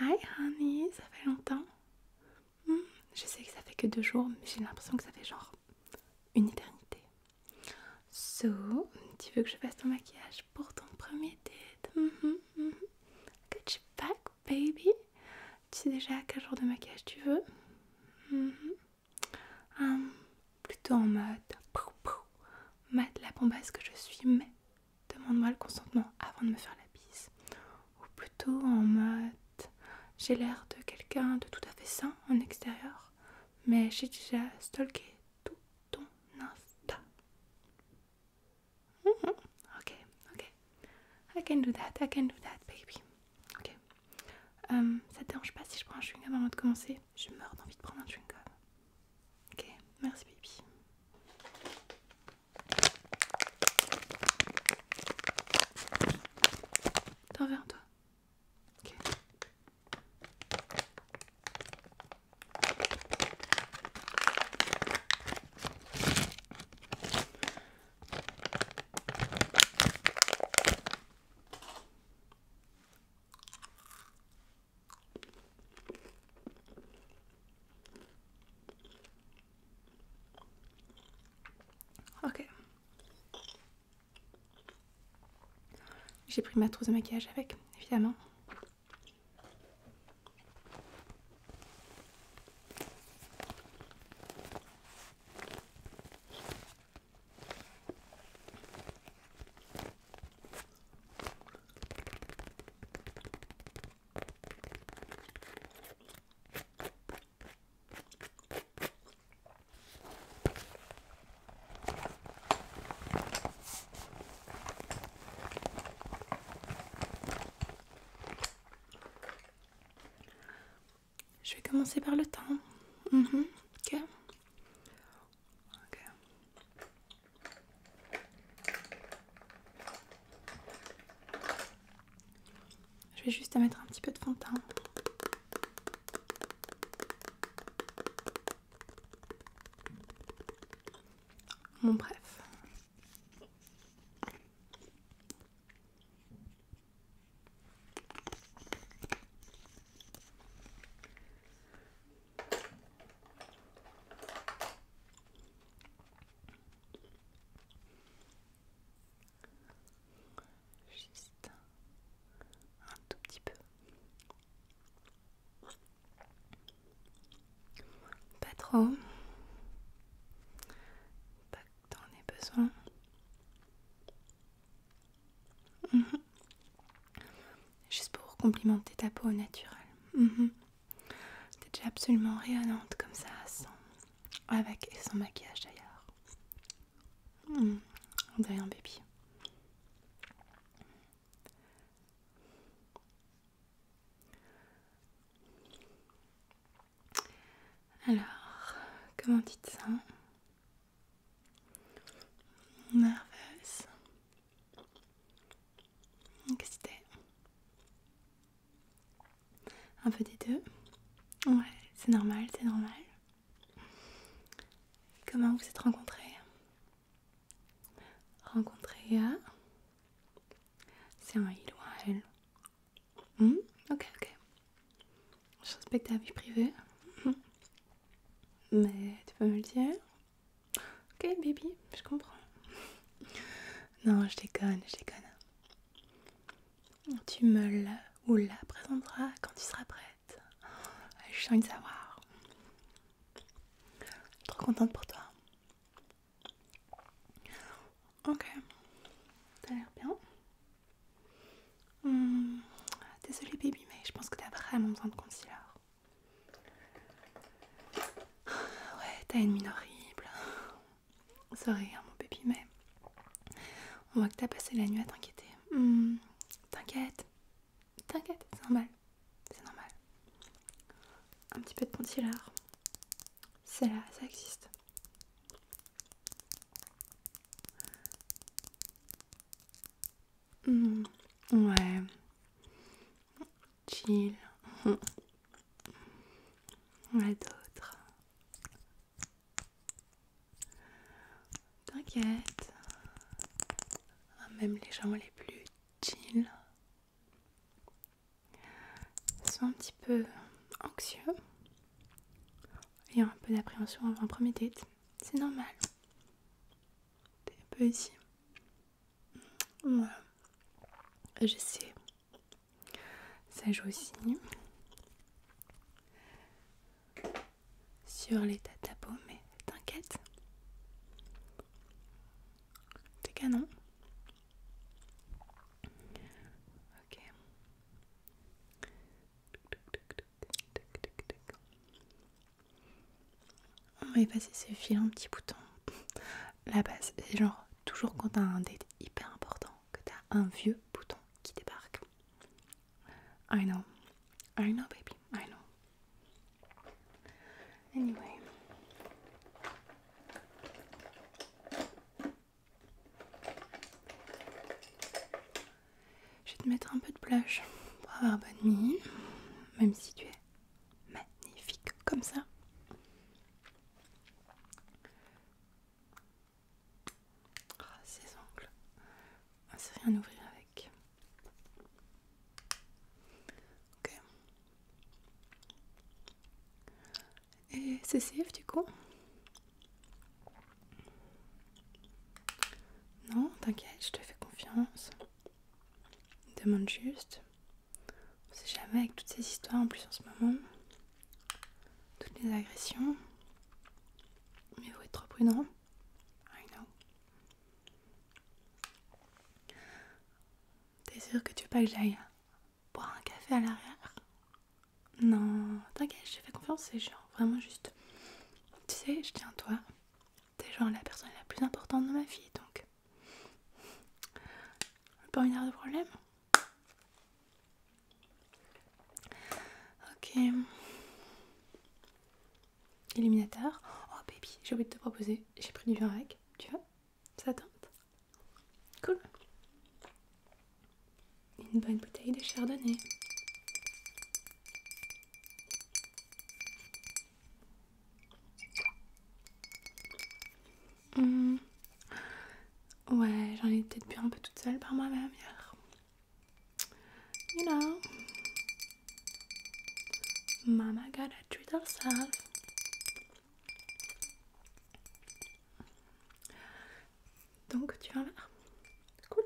Hi honey, ça fait longtemps. Hmm, je sais que ça fait que deux jours, mais j'ai l'impression que ça fait genre une éternité. So, tu veux que je fasse ton maquillage pour ton premier date? Que hmm, hmm, baby. Tu sais déjà quel genre de maquillage tu veux? Um, plutôt en mode Matte la mat la que je suis, mais Demande-moi le consentement avant de me faire la bise. Ou plutôt en mode j'ai l'air de quelqu'un de tout à fait sain en extérieur, mais j'ai déjà stalké tout ton Insta. Hum, hum. Ok, ok. I can do that, I can do that, baby. Ok. Euh, ça te dérange pas si je prends un chewing-gum avant de commencer Je meurs d'envie de prendre un chewing-gum. Ok, merci Pipi. T'en veux toi Ok. Ok. J'ai pris ma trousse de maquillage avec, évidemment. Je vais commencer par le temps. Mhm. Je vais juste mettre un petit peu de fond de bref. Juste un tout petit peu. Pas trop. Pas que t'en aies besoin. Mhm. Juste pour complimenter ta peau naturelle. Mhm. T'es déjà absolument rayonnante comme ça, sans... avec et sans maquillage d'ailleurs. Hmm, on dirait un bébé. Alors, comment dites ça Nerveuse que c'était un peu des deux. Ouais, c'est normal, c'est normal. Comment vous êtes rencontrés Rencontrés à... C'est un il ou un hmm Ok, ok. Je respecte ta vie privée. Mais tu peux me le dire Ok baby, je comprends. Non, je déconne, je déconne. Tu me la ou la présenteras quand tu seras prête. Je suis envie de savoir. Trop contente pour toi. Ok, t'as l'air bien. Hmm, désolée baby, mais je pense que t'as vraiment besoin de concealer. Ouais, t'as une mine horrible. Sorry, mon bébé, mais on voit que t'as passé la nuit à t'inquiéter. Hmm, t'inquiète, t'inquiète, c'est normal, c'est normal. Un petit peu de pantillard c'est là, ça existe. Hmm, ouais, chill. a d'autres. T'inquiète. Ah, même les gens les plus chill sont un petit peu anxieux et un peu d'appréhension avant premier date. C'est normal. T'es un peu ici. Voilà. Je sais. Ça joue aussi sur les de mais t'inquiète. T'es canon. Ok. On va effacer ce fil un petit bouton. La base, c'est genre toujours quand t'as un date hyper important, que t'as un vieux bouton qui débarque. I know. I know, baby. I know. Anyway. Je vais te mettre un peu de blush pour avoir bonne nuit, même si tu es magnifique comme ça. Ah, ces ongles, on ah, sait rien ouvrir avec. Ok. Et c'est safe du coup Non, t'inquiète, je te fais confiance. Demande juste. On sait jamais avec toutes ces histoires en plus en ce moment. Toutes les agressions. Mais vous êtes trop prudent. I know. T'es sûr que tu veux pas que j'aille boire un café à l'arrière Non, t'inquiète, je fais confiance, c'est genre vraiment juste. Tu sais, je tiens à toi. T'es genre la personne la plus importante de ma vie, donc pas une heure de problème. Ok. Illuminateur. Oh baby, j'ai oublié de te proposer. J'ai pris du vin avec. Tu vois Ça tente Cool. Une bonne bouteille de chardonnay. Mmh. Ouais, j'en ai peut-être bu un peu toute seule par moi-même hier. You know. Mama gotta treat herself. Donc tu vas l'air Cool.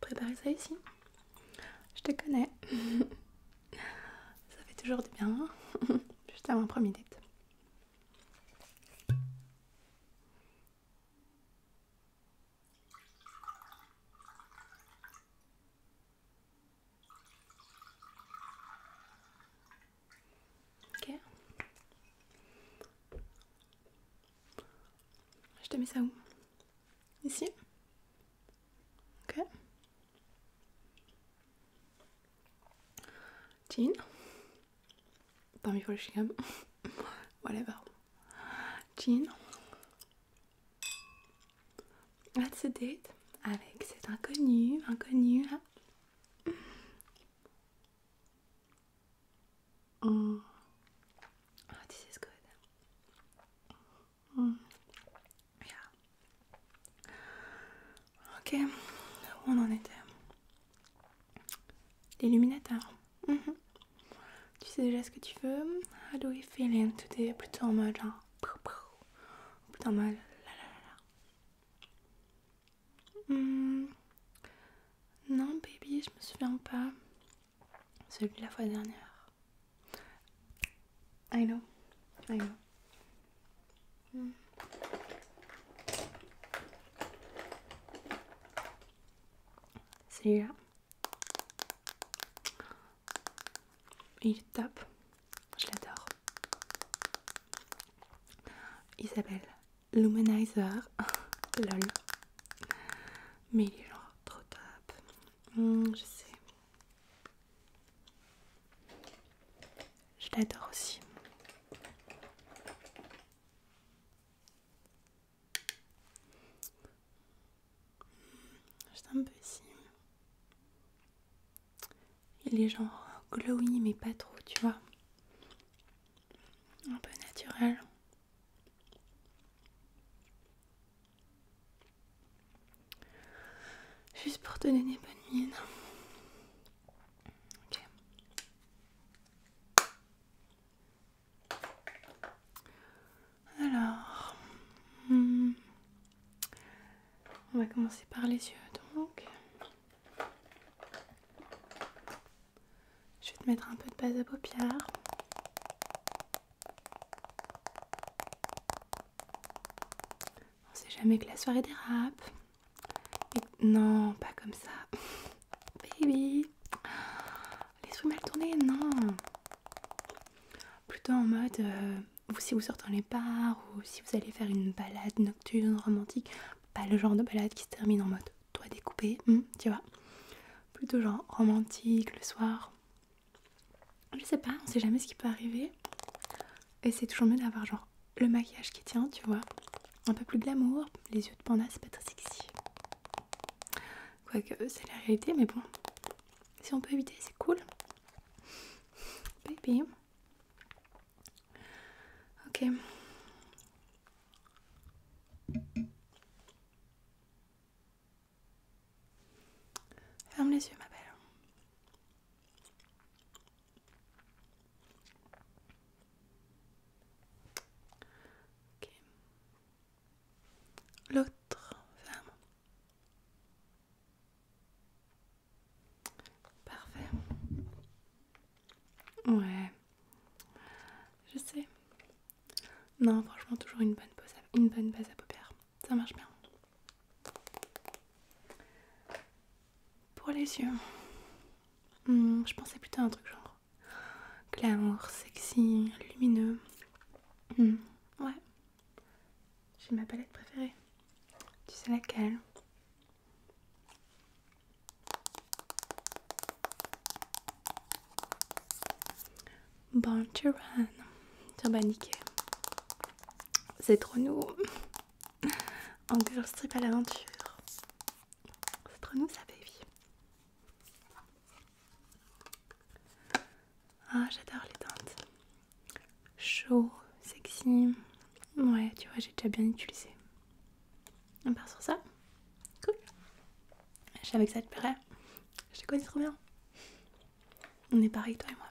Préparez ça ici. Je te connais. ça fait toujours du bien. Hein. Juste avant premier date. Je te mets ça où Ici Ok. Jean Parmi pour le chicam. Whatever. Jean. a date avec cet inconnu, inconnu. Hein Oh. oh, this is good. Mm. Yeah. Ok, où on en était L'illuminateur. Mm-hmm. Tu sais déjà ce que tu veux. How do we feeling today Plutôt en mode genre. Plutôt en mode. La, la, la, la. Mm. Non, baby, je me souviens pas. Celui de la fois dernière. I know. I know. Hmm. là Il est top. Je l'adore. Isabelle Luminizer. Lol. Mais il est genre trop top. Hmm, je sais. Je l'adore aussi. Juste un peu ici. Il est genre glowy mais pas trop, tu vois. Un peu naturel. Juste pour donner des bonnes mines. Alors, hmm. on va commencer par les yeux donc. Je vais te mettre un peu de base à paupières. On sait jamais que la soirée dérape. Non, pas comme ça. Baby. les trucs mal tournés, non. Plutôt en mode, euh, si vous sortez en les bars ou si vous allez faire une balade nocturne romantique, pas le genre de balade qui se termine en mode toi découpé, hmm, tu vois. Plutôt genre romantique le soir. Je sais pas, on sait jamais ce qui peut arriver. Et c'est toujours mieux d'avoir genre le maquillage qui tient, tu vois. Un peu plus d'amour, les yeux de panda c'est pas très sexy. Quoique c'est la réalité, mais bon. Si on peut éviter, c'est cool. Baby. Ok. Ferme les yeux, ma belle. L'autre ferme. Parfait. Ouais, je sais. Non, franchement, toujours une bonne, une bonne base à paupières. Ça marche bien. Pour les yeux, hmm, je pensais plutôt à un truc genre clair, sexy, lumineux. Hmm, ouais, j'ai ma palette préférée. Tu sais laquelle Born to Run. C'est trop nous. En strip à l'aventure. C'est trop nous, ça, baby. Ah, j'adore les teintes. Chaud, sexy. Ouais, tu vois, j'ai déjà bien utilisé. On part sur ça. Cool. Je savais que ça te plairait. Je te connais trop bien. On est pareil, toi et moi.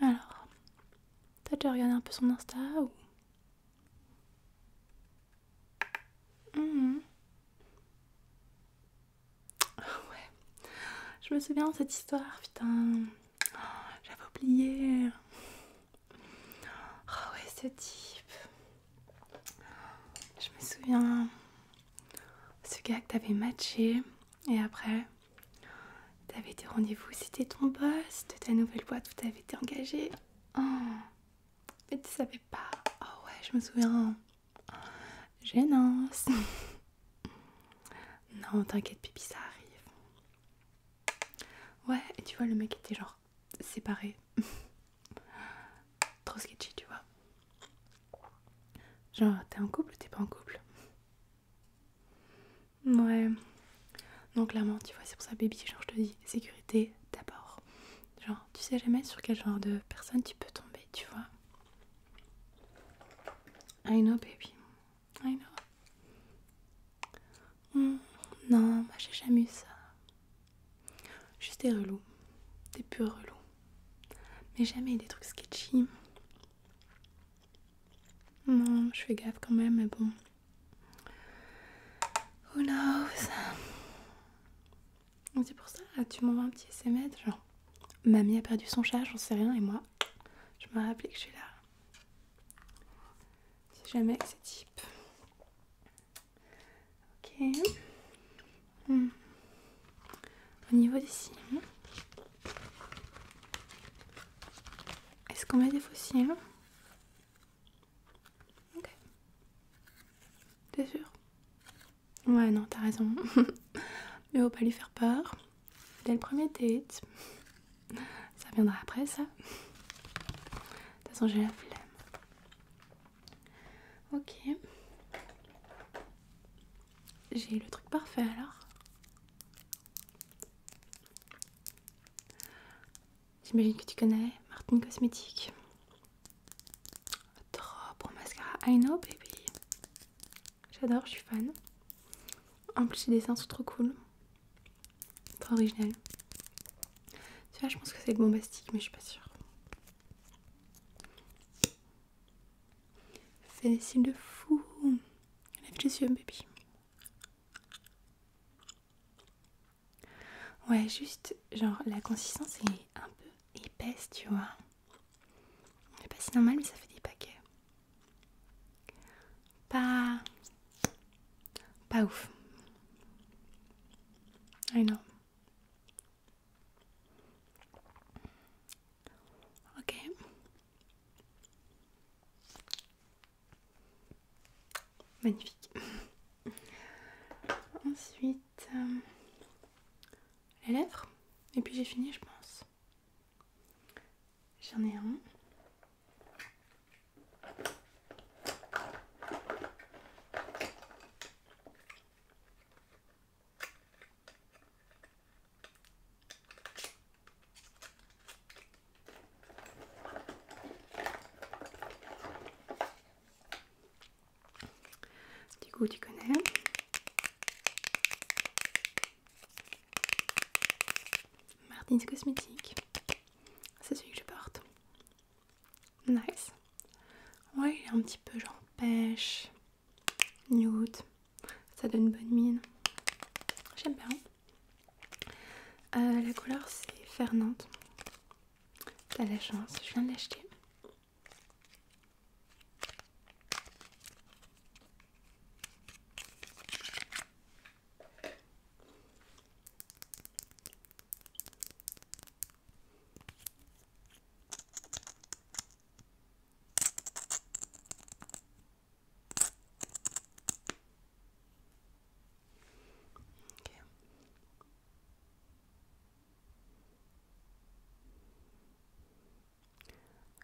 Alors, t'as déjà regardé un peu son Insta ou. Mhm. Ah ouais, je me souviens de cette histoire, putain. Oh, j'avais oublié. Oh ouais, ce type. Je me souviens ce gars que t'avais matché et après t'avais des rendez-vous, c'était ton boss de ta nouvelle boîte où t'avais été engagé. Oh. mais tu savais pas. Oh ouais, je me souviens. Gênance. non, t'inquiète, pipi, ça arrive. Ouais, et tu vois, le mec était genre séparé. trop sketchy, tu vois. Genre, t'es en couple ou t'es pas en couple Ouais. Non, clairement, tu vois, c'est pour ça, baby, genre, je te dis, sécurité d'abord. Genre, tu sais jamais sur quel genre de personne tu peux tomber, tu vois. I know, baby. I know. Hmm, non, j'ai jamais eu ça. Juste des relou, Des pur relou mais jamais des trucs sketchy. Non, je fais gaffe quand même, mais bon. Who knows? C'est pour ça, tu m'envoies un petit SMS, genre. Mamie a perdu son chat, j'en sais rien, et moi, je me rappelais que je suis là. Si jamais c'est type... Ok. Hmm. Au niveau des cils, est-ce qu'on met des faux Ok. T'es sûr Ouais, non, t'as raison. Mais faut pas lui faire peur. Dès le premier tête. Ça viendra après, ça. De toute façon, j'ai la flemme. Ok. J'ai le truc parfait alors. J'imagine que tu connais Martin Cosmétique. Trop bon mascara. I know baby. J'adore, je suis fan. En plus les dessins sont trop cool. Trop original. Tu vois, je pense que c'est le bombastique mais je suis pas sûre. Fais des cils de fou. Lève les yeux, bébé. Ouais, juste, genre, la consistance est un peu épaisse, tu vois. C'est pas si normal, mais ça fait des paquets. Pas. Pas ouf. I know. Ok. Magnifique. Ensuite, euh, les lèvres. Et puis j'ai fini, je pense. J'en ai un. Du coup, tu connais. Martins Cosmétiques. C'est celui que je porte. Nice. Ouais, un petit peu genre pêche nude, ça donne bonne mine. J'aime bien. Euh, la couleur c'est Fernande. T'as la chance, je viens de l'acheter.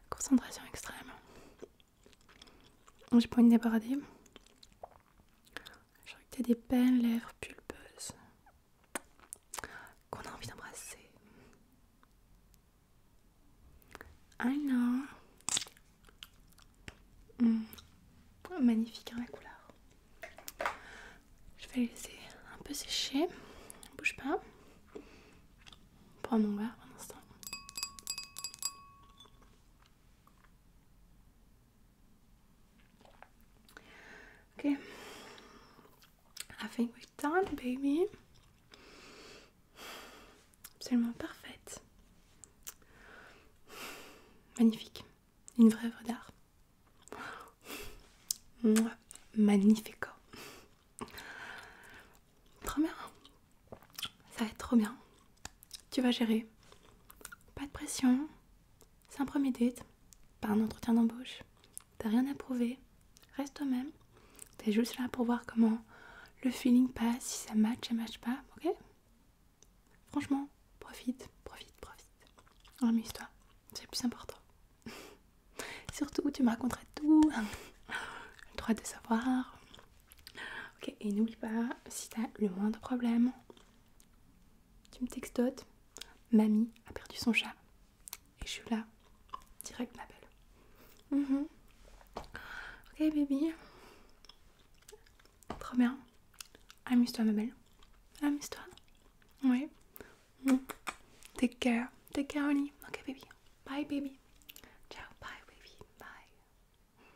Concentration extrême. J'ai pas une débradée. Je crois que des peines lèvres pulpeuses qu'on a envie d'embrasser. I ah know hmm. magnifique hein, la couleur. Je vais laisser un peu sécher. Bouge pas. prend mon verre un instant. Ok. I think we're done, baby. Absolument parfaite. Magnifique. Une vraie œuvre d'art. Magnifique. Trop bien. Ça va être trop bien. Tu vas gérer. Pas de pression. C'est un premier date, pas un entretien d'embauche. T'as rien à prouver, reste toi-même. T'es juste là pour voir comment le feeling passe, si ça match, ça match pas, ok Franchement, profite, profite, profite. Amuse-toi, c'est le plus important. Surtout, tu me raconteras tout. le droit de savoir. Ok, et n'oublie pas, si t'as le moindre problème, tu me textotes. Mamie a perdu son chat. Et je suis là, direct ma belle. Mhm. Ok baby. première, bien. Amuse-toi ma belle. Amuse-toi. Oui. Mhm. Take care. Take care honey. Ok baby. Bye baby. Ciao. Bye baby. Bye.